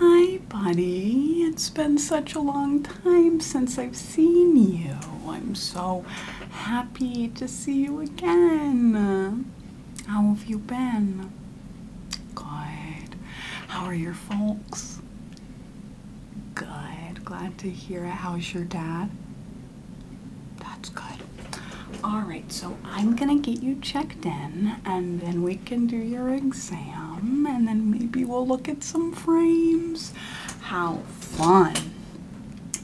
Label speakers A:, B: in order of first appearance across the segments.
A: Hi, buddy. It's been such a long time since I've seen you. I'm so happy to see you again. How have you been? Good. How are your folks? Good. Glad to hear it. How's your dad? That's good. All right, so I'm going to get you checked checked and then we can do your exam, and then maybe we'll look at some frames. How fun!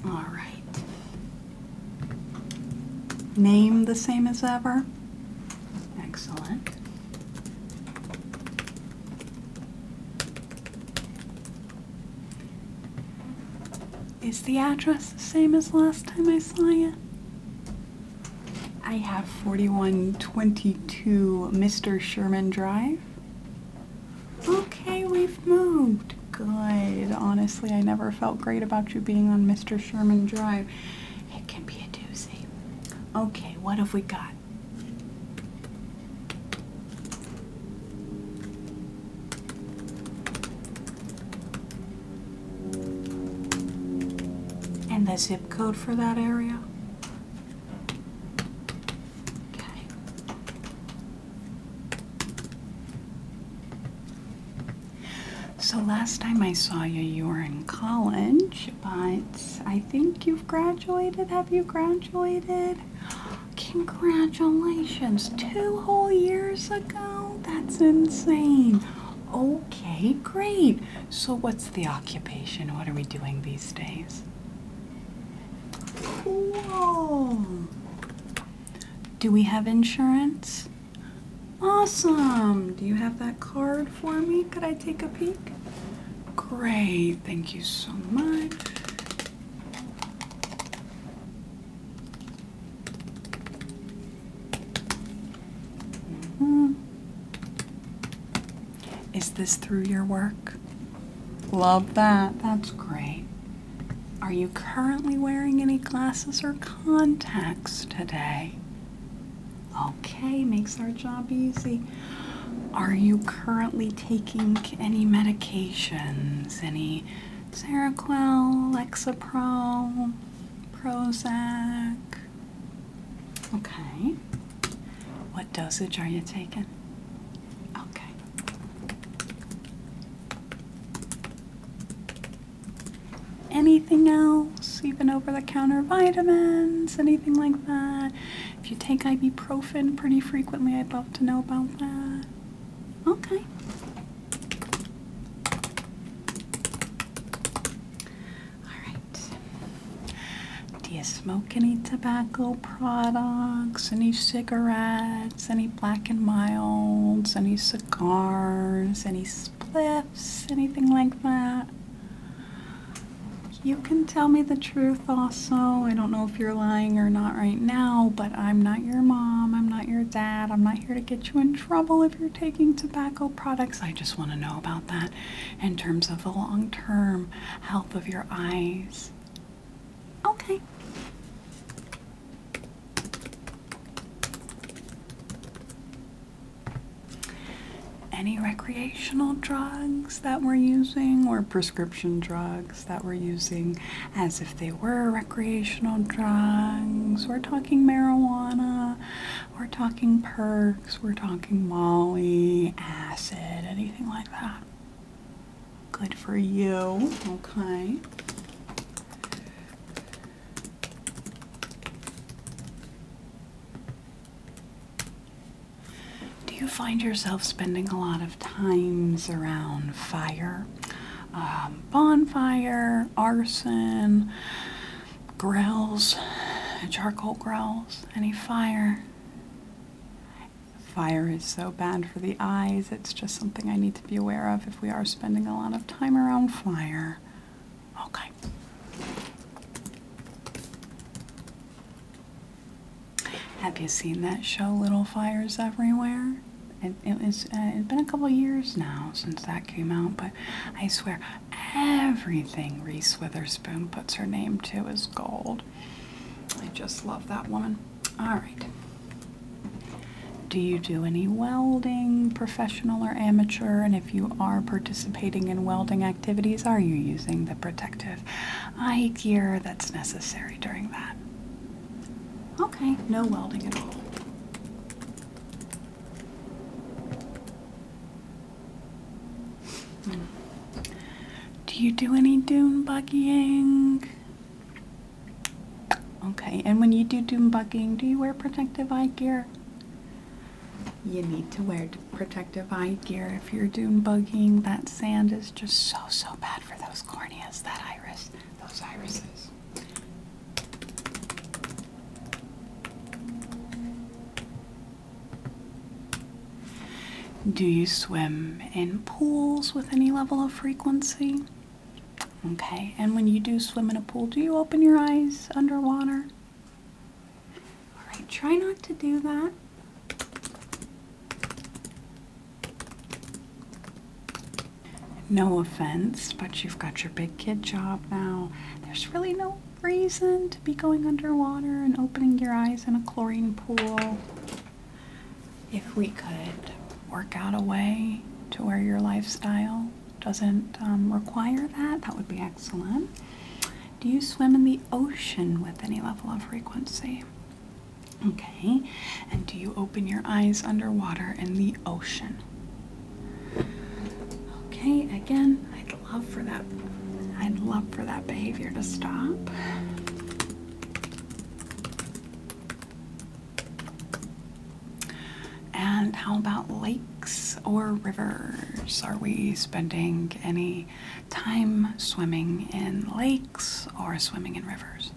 A: All right. Name the same as ever? Excellent. Is the address the same as last time I saw you? I have 4122 Mr. Sherman Drive. Okay, we've moved. Good. Honestly, I never felt great about you being on Mr. Sherman Drive. It can be a doozy. Okay, what have we got? And the zip code for that area? Okay. So last time I saw you, you were in college, but I think you've graduated. Have you graduated? Congratulations, two whole years ago. That's insane. Okay, great. So, what's the occupation? What are we doing these days? Cool. Do we have insurance? Awesome. Do you have that card for me? Could I take a peek? Great. Thank you so much. Is this through your work? Love that. That's great. Are you currently wearing any glasses or contacts today? Okay, makes our job easy. Are you currently taking any medications? Any Seroquel, Lexapro, Prozac? Okay. What dosage are you taking? Okay. Anything else? Even over the counter vitamins? Anything like that? If you take ibuprofen pretty frequently, I'd love to know about that. Okay. Alright. Do you smoke any tobacco products? Any cigarettes? Any black and milds? Any cigars? Any spliffs? Anything like that? You can tell me the truth also. I don't know if you're lying or not right now, but I'm not your mom. I'm not your dad. I'm not here to get you in trouble if you're taking tobacco products. I just want to know about that in terms of the long term health of your eyes. Okay. Any recreational drugs that we're using or prescription drugs that we're using as if they were recreational drugs? We're talking marijuana, we're talking perks, we're talking Molly, acid, anything like that. Good for you, okay. Do you find yourself spending a lot of times around fire? Um, bonfire, arson, Grills, charcoal grills, any fire. Fire is so bad for the eyes, it's just something I need to be aware of if we are spending a lot of time around fire. Okay. Have you seen that show, Little Fires Everywhere? It, was, uh, it's been a couple years now since that came out, but I swear, Everything Reese Witherspoon puts her name to is gold. I just love that woman. All right. Do you do any welding, professional or amateur? And if you are participating in welding activities, are you using the protective eye gear that's necessary during that? Okay, no welding at all. Hmm. Do you do any dune buggying? Okay, and when you do dune bugging, do you wear protective eye gear? You need to wear protective eye gear if you're dune bugging. That sand is just so, so bad for those corneas, that iris, those irises. Do you swim in pools with any level of frequency? Okay, and when you do swim in a pool, do you open your eyes underwater? Alright, try not to do that. No offense, but you've got your big kid job now. There's really no reason to be going underwater and opening your eyes in a chlorine pool. If we could work out a way to where your lifestyle doesn't um, require that, that would be excellent. Do you swim in the ocean with any level of frequency? Okay, and do you open your eyes underwater in the ocean? Okay, again, I'd love for that I'd love for that behavior to stop. And how about lakes or rivers? Are we spending any time swimming in lakes or swimming in rivers?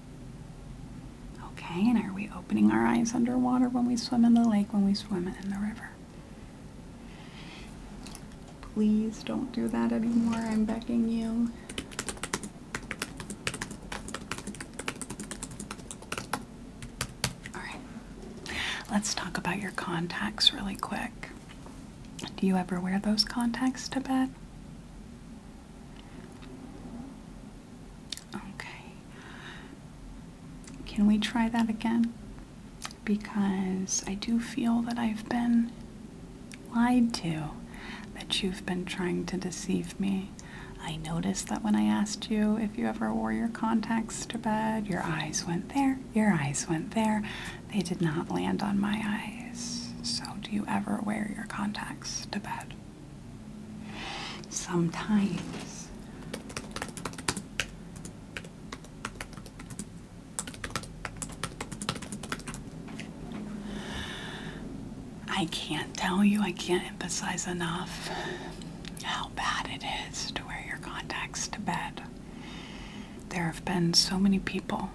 A: Okay, and are we opening our eyes underwater when we swim in the lake, when we swim in the river? Please don't do that anymore, I'm begging you. Alright, let's talk about your contacts really quick. Do you ever wear those contacts to bed? Okay. Can we try that again? Because I do feel that I've been lied to, that you've been trying to deceive me. I noticed that when I asked you if you ever wore your contacts to bed, your eyes went there, your eyes went there. They did not land on my eyes. So, do you ever wear your contacts to bed? Sometimes. I can't tell you, I can't emphasize enough how bad it is to wear your contacts to bed. There have been so many people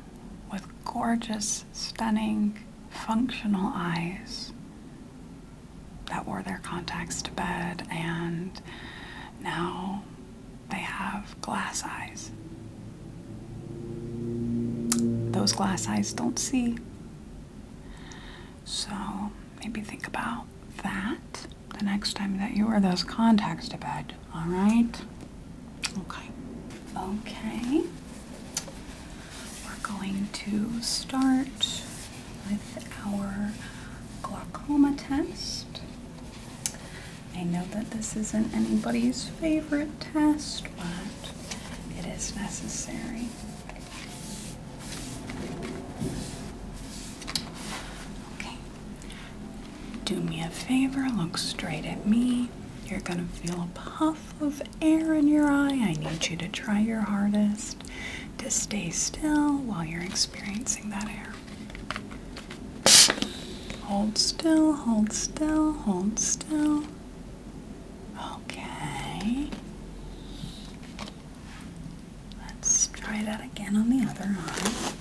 A: with gorgeous, stunning, functional eyes that wore their contacts to bed, and now they have glass eyes. Those glass eyes don't see. So maybe think about that the next time that you wear those contacts to bed, all right? Okay. Okay. We're going to start with our glaucoma test. I know that this isn't anybody's favorite test, but it is necessary. Okay. Do me a favor, look straight at me. You're gonna feel a puff of air in your eye. I need you to try your hardest to stay still while you're experiencing that air. Hold still, hold still, hold still. Okay. Let's try that again on the other eye.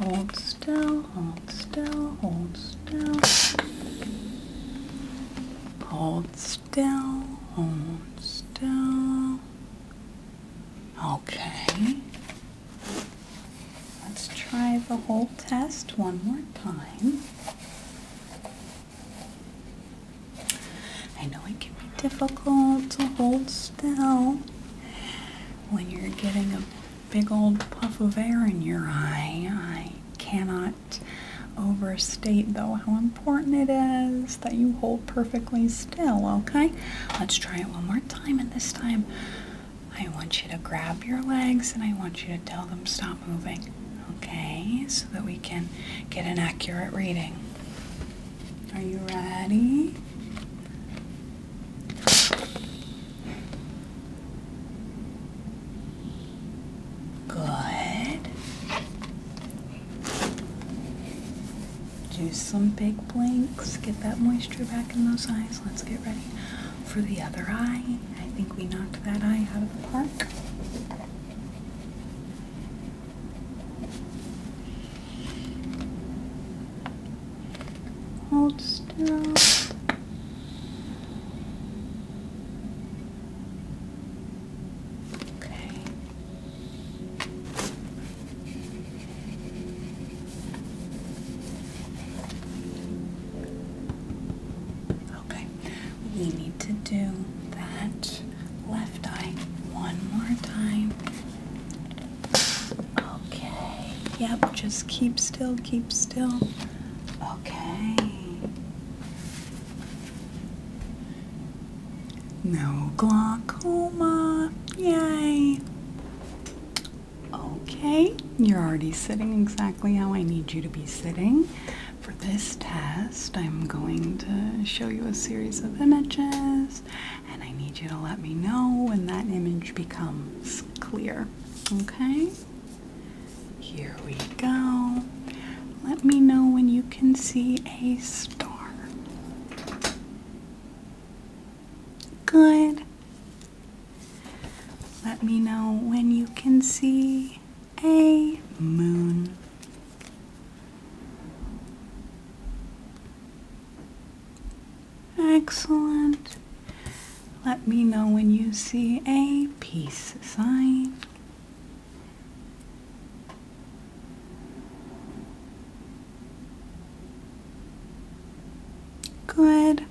A: Okay. Hold still, hold still, hold still. Hold still, hold still. Okay. Let's try the whole test one more time. I know it can be difficult to hold still, when you're getting a big old puff of air in your eye. I cannot overstate, though, how important it is that you hold perfectly still, okay? Let's try it one more time, and this time I want you to grab your legs and I want you to tell them stop moving, okay? So that we can get an accurate reading. Are you ready? Good. Do some big blinks. Get that moisture back in those eyes. Let's get ready for the other eye. I think we knocked that eye out of the park. Hold still. Okay. Okay, we need to do that left eye one more time. Okay. Yep, just keep still, keep still. Okay. No glaucoma. Yay. Okay, you're already sitting exactly how I need you to be sitting. For this test, I'm going to show you a series of images and I need you to let me know when that image becomes clear. Okay? Here we go. Let me know when you can see a star. Good. Let me know when you can see a moon. Excellent. Let me know when you see a peace sign. Good.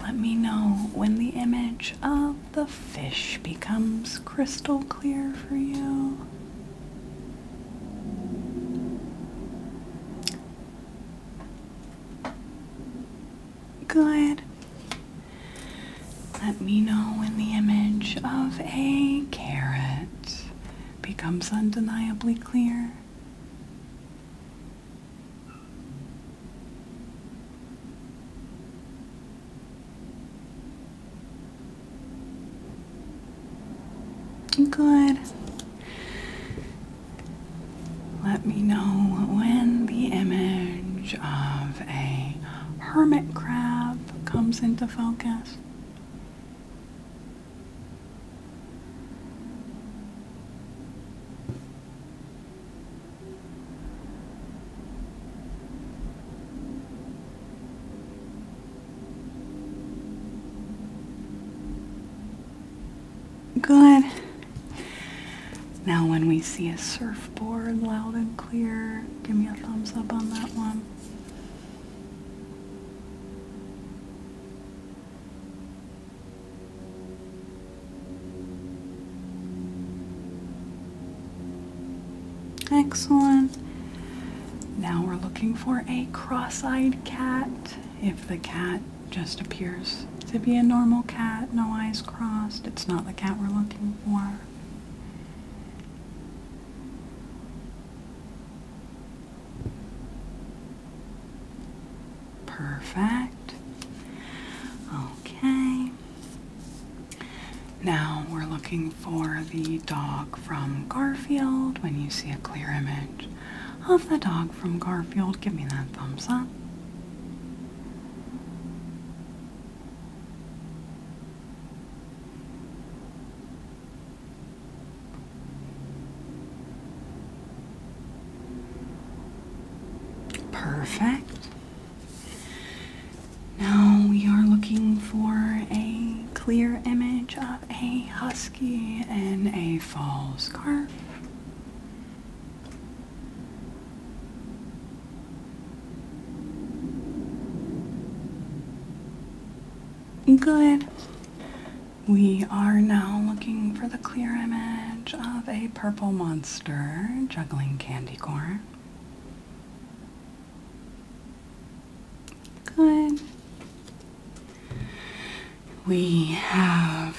A: Let me know when the image of the fish becomes crystal clear for you. Good. Let me know when the image of a carrot becomes undeniably clear. Good. Let me know when the image of a hermit crab comes into focus. Good. Now when we see a surfboard loud and clear, give me a thumbs up on that one. Excellent. Now we're looking for a cross-eyed cat. If the cat just appears to be a normal cat, no eyes crossed, it's not the cat we're looking for. Perfect. Okay. Now we're looking for the dog from Garfield. When you see a clear image of the dog from Garfield, give me that thumbs up. Perfect. Now we are looking for a clear image of a husky in a fall scarf. Good. We are now looking for the clear image of a purple monster juggling candy corn. Good. We have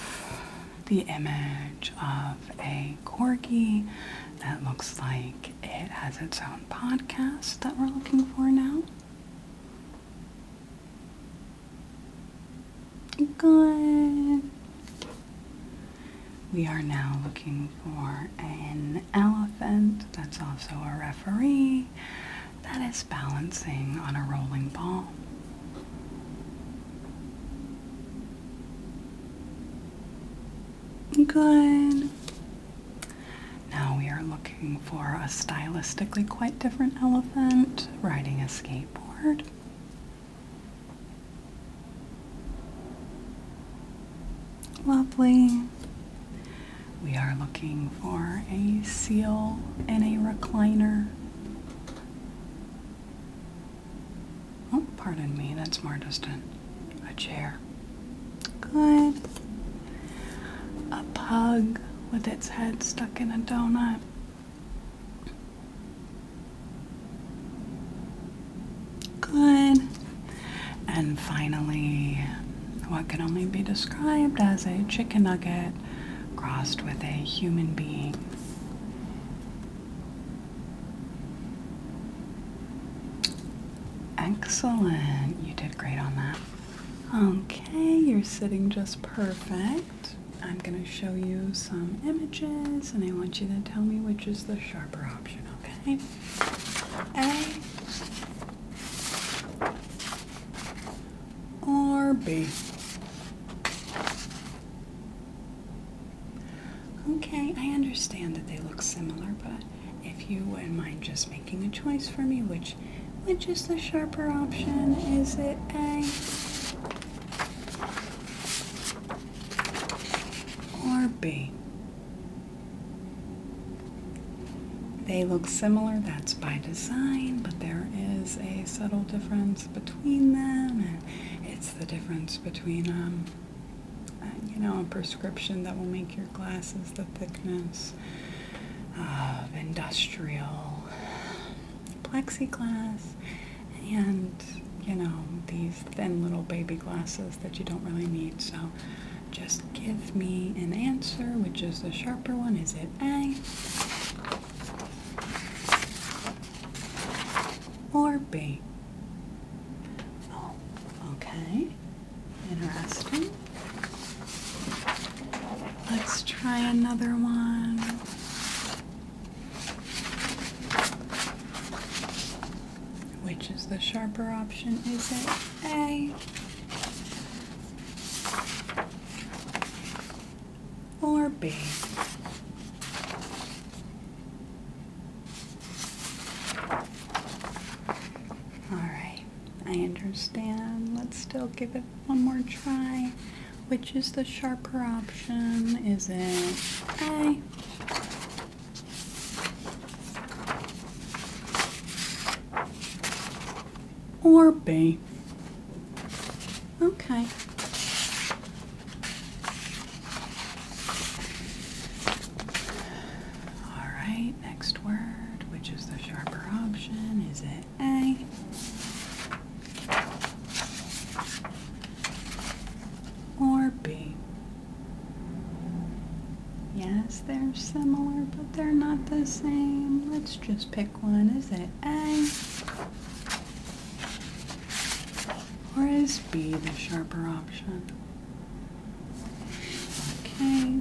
A: the image of a corgi that looks like it has its own podcast that we're looking for now. Good. We are now looking for an elephant that's also a referee that is balancing on a rolling ball. Good. Now we are looking for a stylistically quite different elephant riding a skateboard. Lovely. We are looking for a seal and a recliner. Oh, pardon me, that's more distant. A chair. Good. A pug with its head stuck in a donut. Good. And finally, what can only be described as a chicken nugget crossed with a human being. Excellent. You did great on that. Okay, you're sitting just perfect. I'm going to show you some images and I want you to tell me which is the sharper option, okay? A RB. Okay, I understand that they look similar, but if you wouldn't mind just making a choice for me, which which is the sharper option? Is it A or B? They look similar, that's by design, but there is a subtle difference between them, it's the difference between, um, uh, you know, a prescription that will make your glasses the thickness of industrial plexiglass and, you know, these thin little baby glasses that you don't really need. So, just give me an answer, which is the sharper one. Is it A or B? Oh, okay. Interesting. Let's try another one. Which is the sharper option, is it? A or B. All right, I understand. Let's still give it one more try. Which is the sharper option? Is it A or B. Okay. All right, next word, which is the sharper option, is it A? Or B. Yes, they're similar, but they're not the same. Let's just pick one. Is it A? Or is B the sharper option? Okay.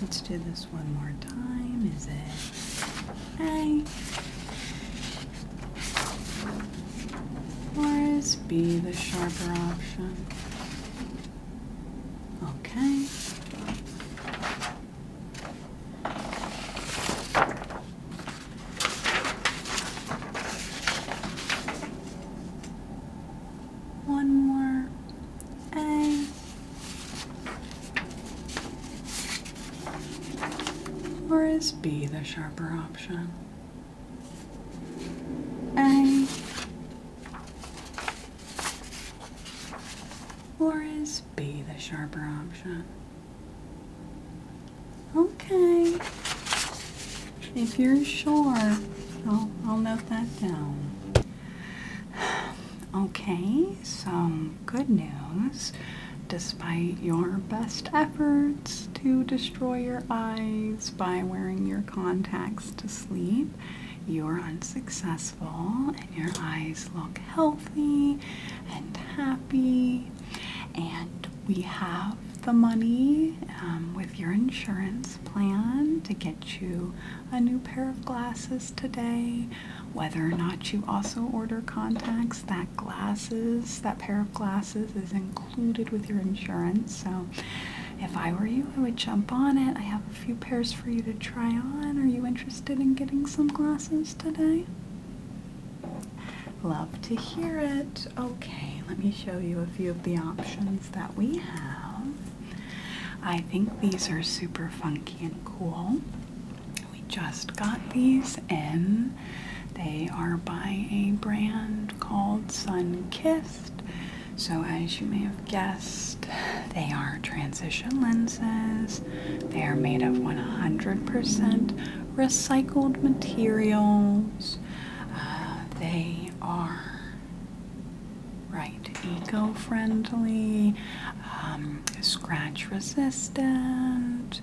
A: Let's do this one more time. Is it A? Or is B the sharper option? Okay. One more A. Or is B the sharper option? A. Or is B the sharper option? Okay. If you're sure, I'll, I'll note that down. Okay, So good news. Despite your best efforts to destroy your eyes by wearing your contacts to sleep, you're unsuccessful and your eyes look healthy and happy, and we have the money um, with your insurance plan to get you a new pair of glasses today. Whether or not you also order contacts, that glasses, that pair of glasses is included with your insurance. So if I were you, I would jump on it. I have a few pairs for you to try on. Are you interested in getting some glasses today? Love to hear it. Okay, let me show you a few of the options that we have. I think these are super funky and cool. We just got these in. They are by a brand called Sun Kiss. So, as you may have guessed, they are transition lenses. They are made of 100% recycled materials. Uh, they are, right, eco friendly, um, scratch resistant.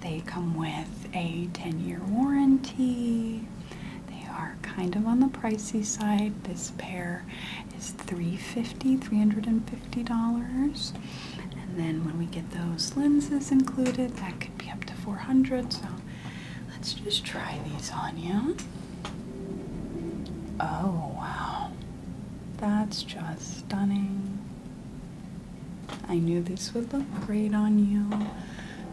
A: They come with a 10 year warranty. They are kind of on the pricey side. This pair is $350, $350. And then when we get those lenses included, that could be up to 400 So let's just try these on you. Oh, wow. That's just stunning. I knew this would look great on you.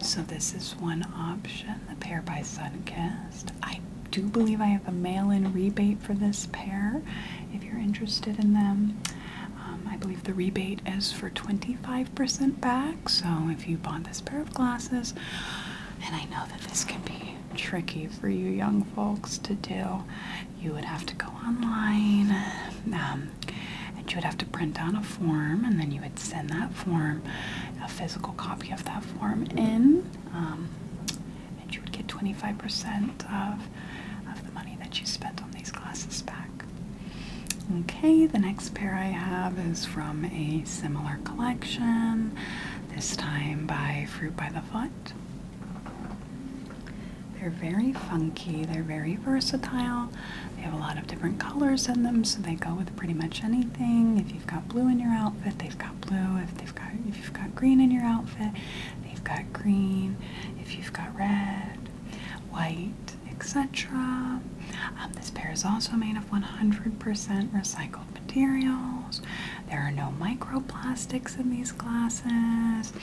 A: So this is one option, the pair by Sunkist. I do believe I have a mail-in rebate for this pair if you're interested in them. Um, I believe the rebate is for 25% back, so if you bought this pair of glasses, and I know that this can be tricky for you young folks to do, you would have to go online um, and you would have to print out a form and then you send that form, a physical copy of that form in, um, and you would get 25% of, of the money that you spent on these glasses back. Okay, the next pair I have is from a similar collection, this time by Fruit by the Foot. They're very funky, they're very versatile. They have a lot of different colors in them, so they go with pretty much anything they have got blue in your outfit, they've got blue. If they've got if you've got green in your outfit, they've got green. If you've got red, white, etc. Um, this pair is also made of 100% recycled materials. There are no microplastics in these glasses.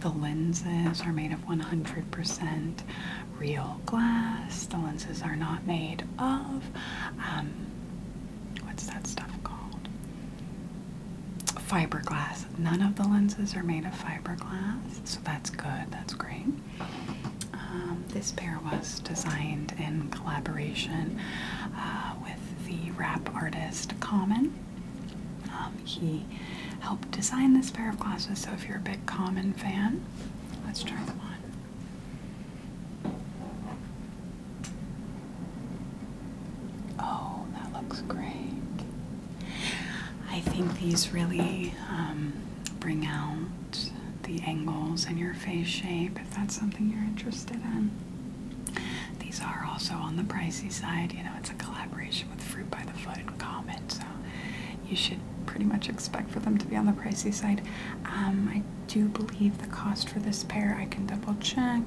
A: The lenses are made of 100% real glass. The lenses are not made of um, what's that stuff called? Fiberglass. None of the lenses are made of fiberglass, so that's good. That's great. Um, this pair was designed in collaboration uh, with the rap artist Common. Um, he helped design this pair of glasses, so if you're a big Common fan, let's try them on. Oh, that looks great. I think these really um, bring out the angles in your face shape if that's something you're interested in. These are also on the pricey side. You know, it's a collaboration with Fruit by the Foot and Comet, so you should pretty much expect for them to be on the pricey side. Um, I do believe the cost for this pair, I can double check,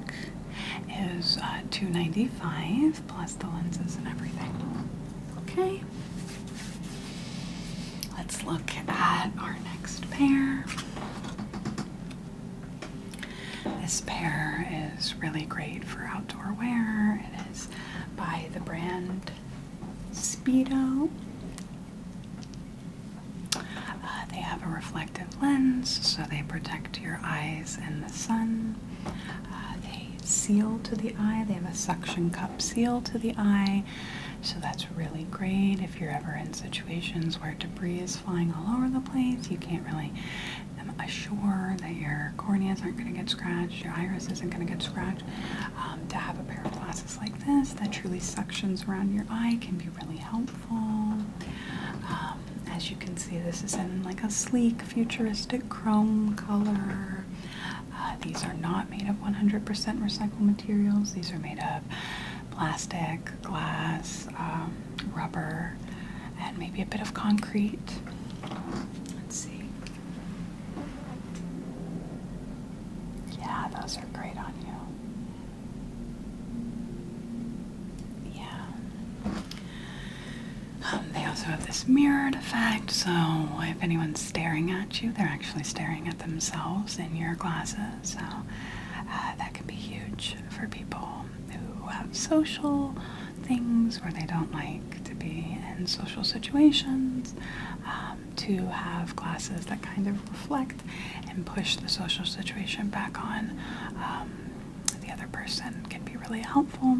A: is uh, 295 plus the lenses and everything. Okay. Let's look at our next pair. This pair is really great for outdoor wear. It is by the brand Speedo. Uh, they have a reflective lens, so they protect your eyes in the sun. Uh, they seal to the eye, they have a suction cup seal to the eye, so that's really great if you're ever in situations where debris is flying all over the place. You can't really um, assure that your corneas aren't going to get scratched, your iris isn't going to get scratched. Um, to have a pair of glasses like this that truly sections around your eye can be really helpful. Um, as you can see, this is in like a sleek, futuristic chrome color. Uh, these are not made of 100% recycled materials. These are made of plastic, glass, um, rubber, and maybe a bit of concrete. Let's see. Yeah, those are great on you. Yeah. Um, they also have this mirrored effect, so if anyone's staring at you, they're actually staring at themselves in your glasses. So uh, that can be huge for people who have social things where they don't like to be in social situations. Um, to have glasses that kind of reflect and push the social situation back on um, the other person can be really helpful.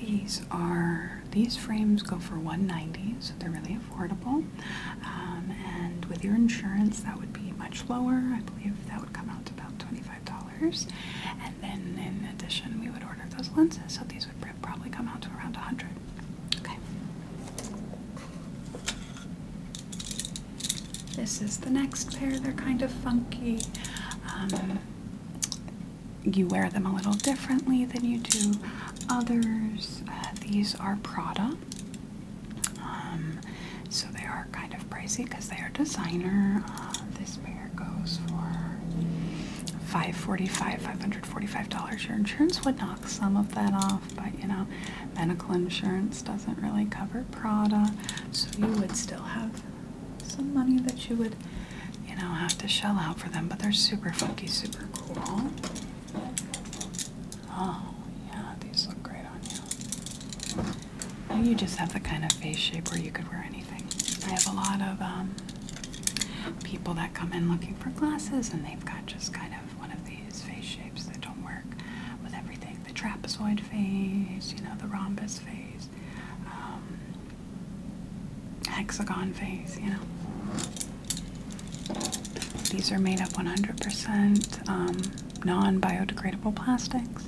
A: These are these frames go for 190, so they're really affordable. Um, and with your insurance, that would be much lower. I believe that would come out to about $25. And then in addition, we would order those lenses, so these would probably come out to around 100 Okay. This is the next pair. They're kind of funky. Um, you wear them a little differently than you do others. Uh, these are Prada. Um, so they are kind of pricey because they are designer. Uh, this pair goes for 545 $545. Your insurance would knock some of that off off, but you know, medical insurance doesn't really cover Prada, so you would still have some money that you would, you know, have to shell out for them. But they're super funky, super cool. Oh, yeah, these look great on you. Now you just have the kind of face shape where you could wear anything. I have a lot of um, people that come in looking for glasses, and they've got just kind of one of these face shapes that don't work with everything. The trapezoid face, you know, the rhombus face, um, hexagon face, you know. These are made of 100% um, non-biodegradable plastics.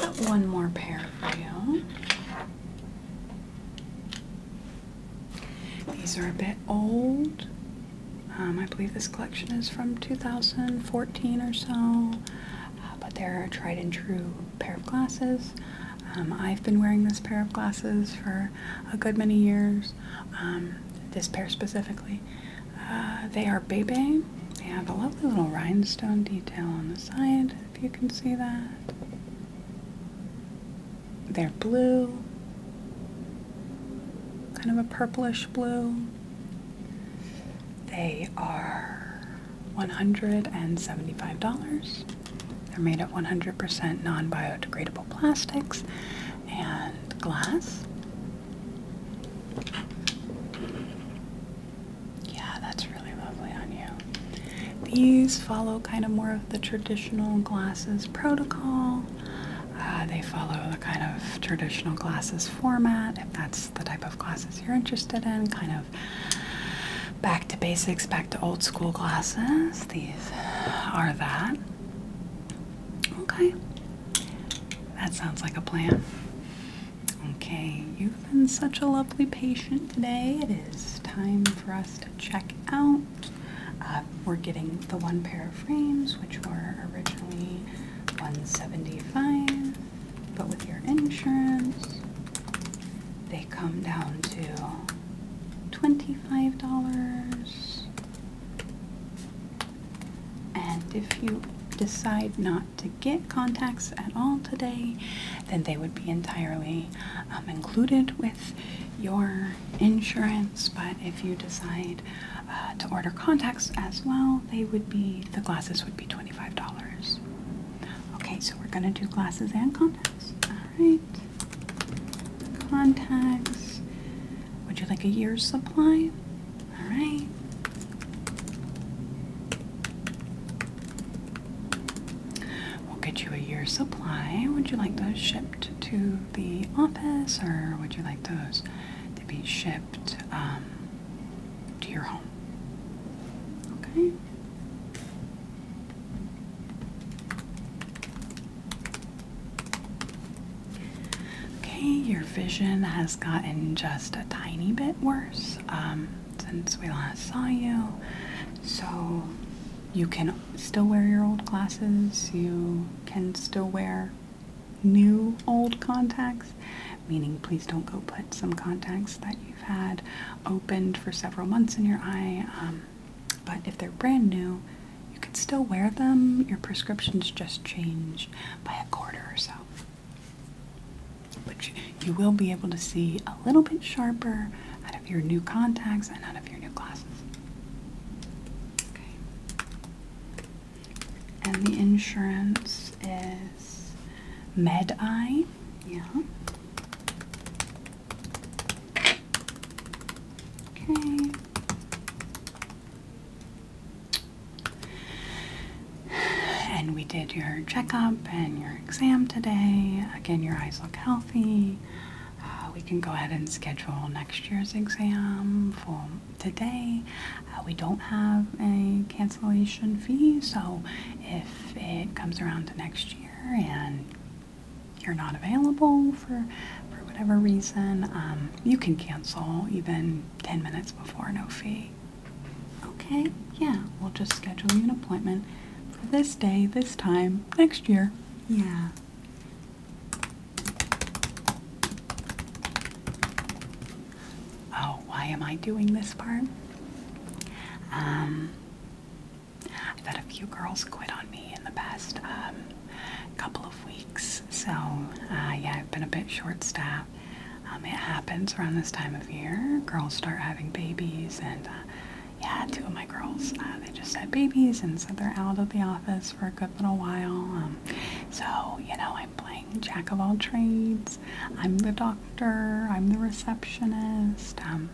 A: got one more pair for you. These are a bit old. Um, I believe this collection is from 2014 or so, uh, but they're a tried and true pair of glasses. Um, I've been wearing this pair of glasses for a good many years, um, this pair specifically. Uh, they are Bebe. They have a lovely little rhinestone detail on the side, if you can see that. They're blue, kind of a purplish blue. They are $175. They're made of 100% non biodegradable plastics and glass. Yeah, that's really lovely on you. These follow kind of more of the traditional glasses protocol. Uh, they follow the kind of traditional glasses format, if that's the type of glasses you're interested in, kind of back to basics, back to old school glasses. These are that. Okay, that sounds like a plan. Okay, you've been such a lovely patient today. It is time for us to check out. Uh, we're getting the one pair of frames, which were originally 175 dollars but with your insurance, they come down to $25. And if you decide not to get contacts at all today, then they would be entirely um, included with your insurance, but if you decide uh, to order contacts as well, they would be the glasses would be $25. Okay, so we're gonna do glasses and contacts. Alright. Contacts. Would you like a year's supply? Alright. We'll get you a year's supply. Would you like those shipped to the office or would you like those to be shipped um, to your home? Okay. Okay, your vision has gotten just a tiny bit worse um, since we last saw you. So you can still wear your old glasses, you can still wear new old contacts, meaning please don't go put some contacts that you've had opened for several months in your eye. Um, but if they're brand new, you can still wear them. Your prescriptions just change by a quarter or so. But you will be able to see a little bit sharper out of your new contacts and out of your new glasses. Okay. And the insurance is MedEye. Yeah. Okay. And we did your checkup and your exam today. Again, your eyes look healthy. Uh, we can go ahead and schedule next year's exam for today. Uh, we don't have a cancellation fee, so if it comes around to next year and you're not available for, for whatever reason, um, you can cancel even 10 minutes before, no fee. Okay, yeah, we'll just schedule you an appointment for this day, this time, next year. Yeah. Oh, why am I doing this part? Um, I've had a few girls quit on me in the past um, couple of weeks, so uh, yeah, I've been a bit short-staffed. Um, it happens around this time of year. Girls start having babies, and uh, yeah, two of my girls, uh, they just had babies and so they're out of the office for a good little while. Um, so, you know, I'm playing jack of all trades. I'm the doctor, I'm the receptionist. Um,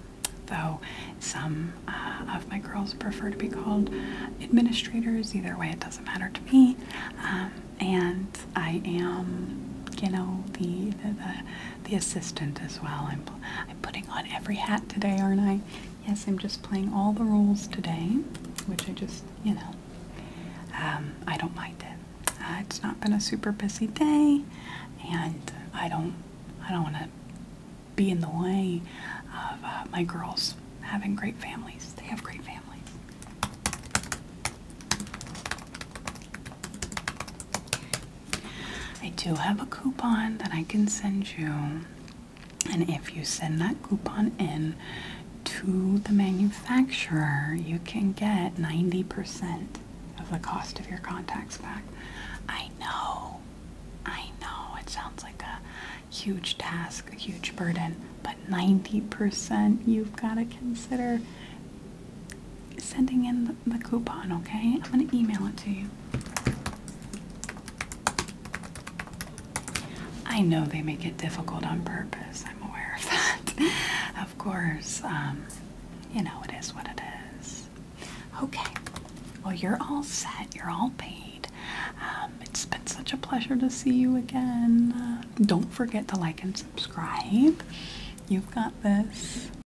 A: though some uh, of my girls prefer to be called administrators, either way, it doesn't matter to me. Um, and I am, you know, the, the, the the assistant as well. I'm, I'm putting on every hat today, aren't I? Yes, I'm just playing all the roles today, which I just, you know, um, I don't mind it. Uh, it's not been a super busy day, and I don't, I don't want to be in the way of uh, my girls having great families. They have great families. I do have a coupon that I can send you, and if you send that coupon in to the manufacturer, you can get 90% of the cost of your contacts back. I know, I know, it sounds like a huge task, a huge burden, but 90% you've got to consider sending in the the coupon, okay? I'm going to email it to you. I know they make it difficult on purpose. I'm aware of that. of course, um, you know, it is what it is. Okay. Well, you're all set. You're all paid. Um, it's been such a pleasure to see you again. Uh, don't forget to like and subscribe. You've got this.